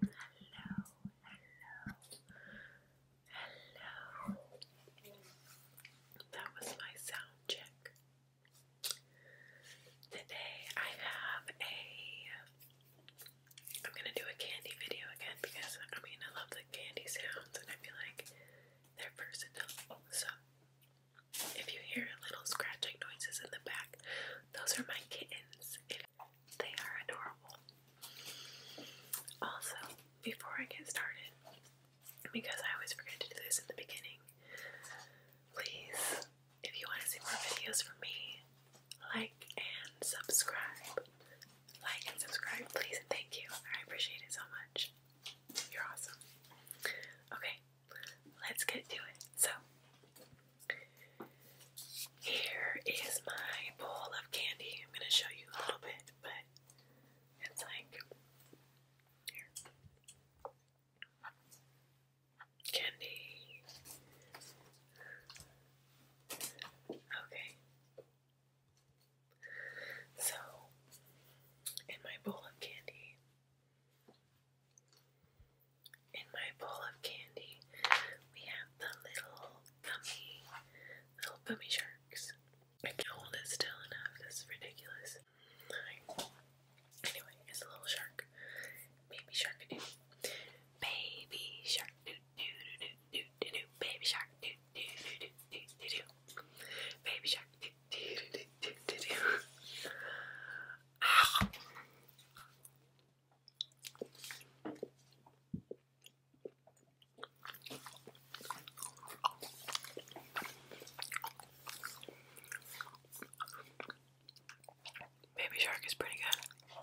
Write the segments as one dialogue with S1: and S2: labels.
S1: hello. That was my sound check. Today I have a I'm gonna do a candy video again because I mean I love the candy sounds and I feel like they're personal. So if you hear little scratching noises in the back, those are my kittens. It, they are adorable. Also, before I get started, because I always forget to do this in the beginning, please, if you want to see more videos from me, like and subscribe like and subscribe, please, thank you. I appreciate it so much. You're awesome. Okay, let's get to it. So, here is my bowl of candy. I'm going to show you a little bit, but it's like Candy. Okay. So, in my bowl of candy, in my bowl of candy, we have the little gummy, little gummy sharks. I can't hold it still enough. This ridiculous. Anyway, it's a little shark, baby shark, doo. baby shark, doo doo doo doo do do do baby shark do do do do do do baby shark do do do do do do Baby shark is pretty good.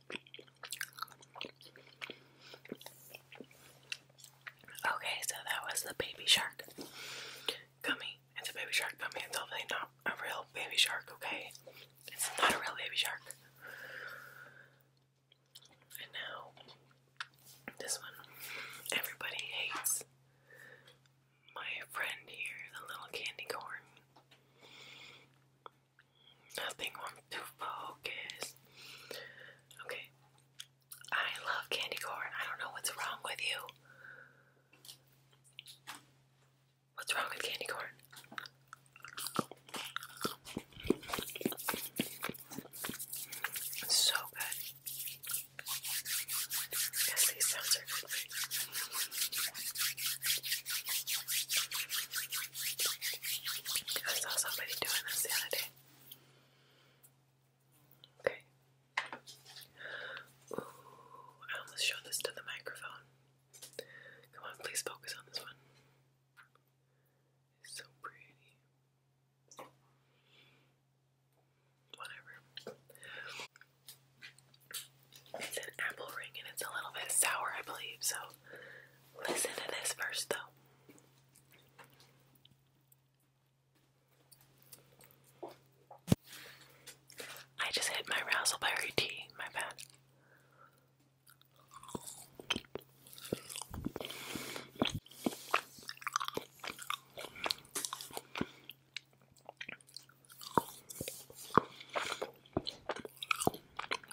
S1: Okay, so that was the baby shark gummy. It's a baby shark gummy. It's obviously not a real baby shark, okay? It's not a real baby shark. And now, this one. Everybody hates my friend here, the little candy corn. Nothing wants to focus. Okay. I love candy corn. I don't know what's wrong with you. What's wrong with candy corn? so good. Yes, these sounds are good. I saw somebody doing this the other day. Okay. Ooh, I almost showed this to the microphone. Come on, please focus on this one. It's so pretty. Whatever. It's an apple ring and it's a little bit sour, I believe, so Listen to this first, though. I just hit my razzleberry tea, my bad.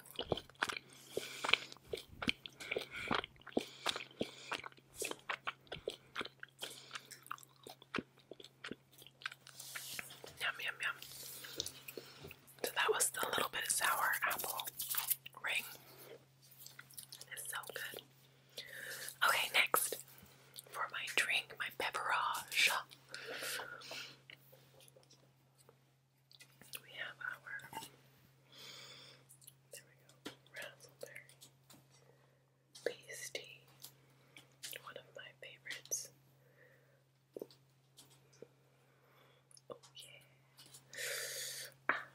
S1: Yum, yum, yum. So that was the little bit of sour apple ring. It's so good. Okay, next for my drink, my beverage. We have our there we one of my favorites. Oh yeah. Ah.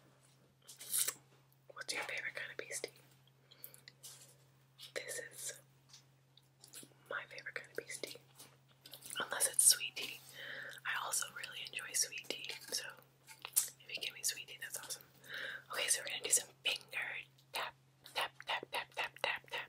S1: What's your favorite kind of pasty? This is my favorite kind of pasty unless it's sweet tea. I also really enjoy sweet tea, so if you give me sweet tea, that's awesome. Okay, so we're gonna do some finger tap, tap, tap, tap, tap, tap, tap.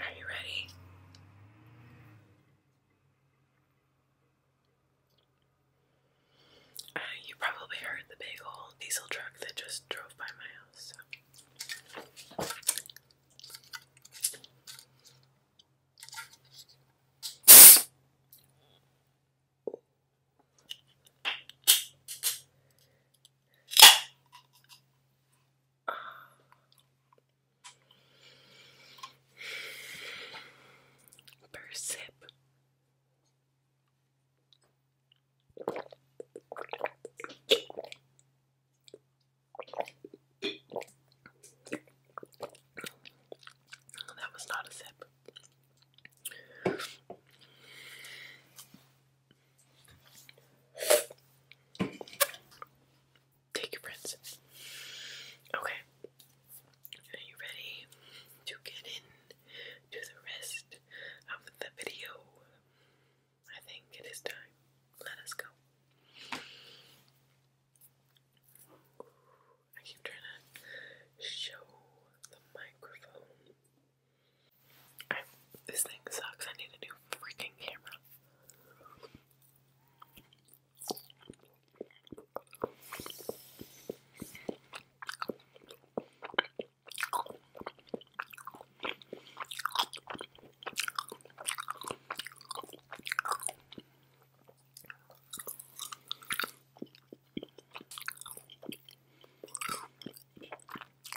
S1: Are you ready? Uh, you probably heard the big old diesel truck that just drove by my house per sip. That was not a sip. Take your prints. Okay. Are you ready to get in the rest of the video? I think it is time. Let us go. I keep trying to show the microphone this thing sucks. I need a new freaking camera. Nothing focuses.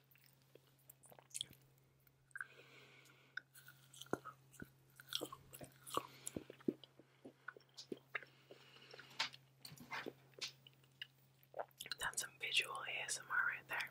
S1: That's some visual ASMR right there.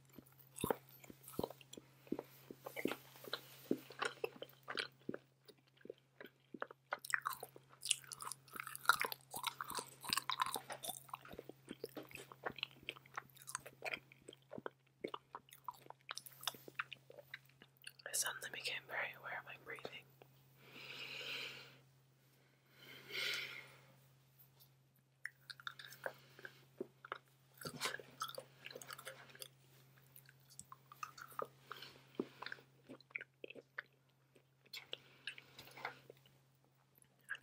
S1: I suddenly became very aware of my breathing. I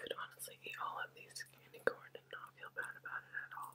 S1: could honestly eat all of these candy corn and not feel bad about it at all.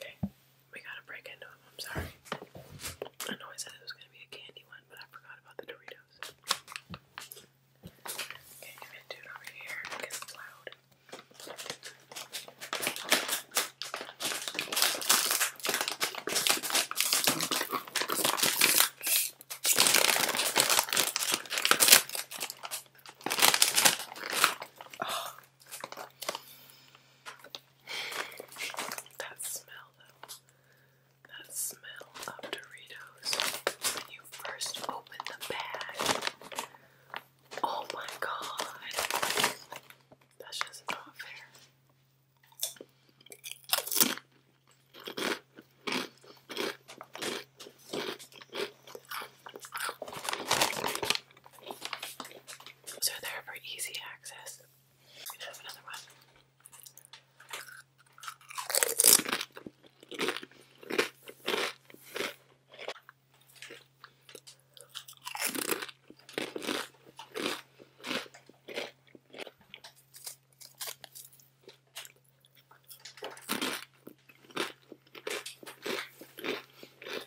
S1: Okay, we gotta break into them. I'm sorry. I know I said it was gonna be a candy one, but I forgot about the Doritos. Okay, i it over here because it's loud. That smell, though. That smell of Doritos when you first open the bag. Oh my god. That's just not fair. So they're for easy access. We have another one.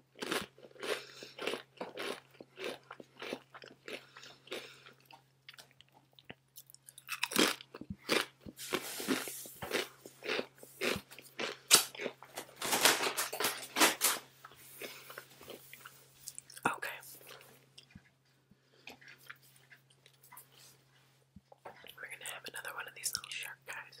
S1: Okay. We're gonna have another one of these little shark guys.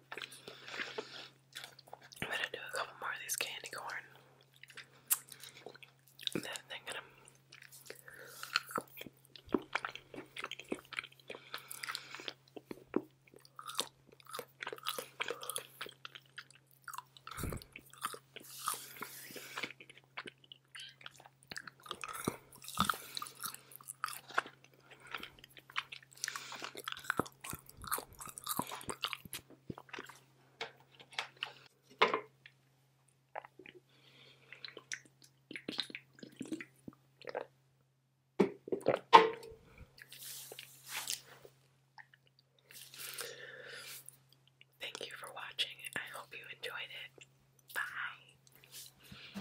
S1: I'm gonna do a couple more of these candy corn. then I'm gonna Thank you for watching. I hope you enjoyed it. Bye.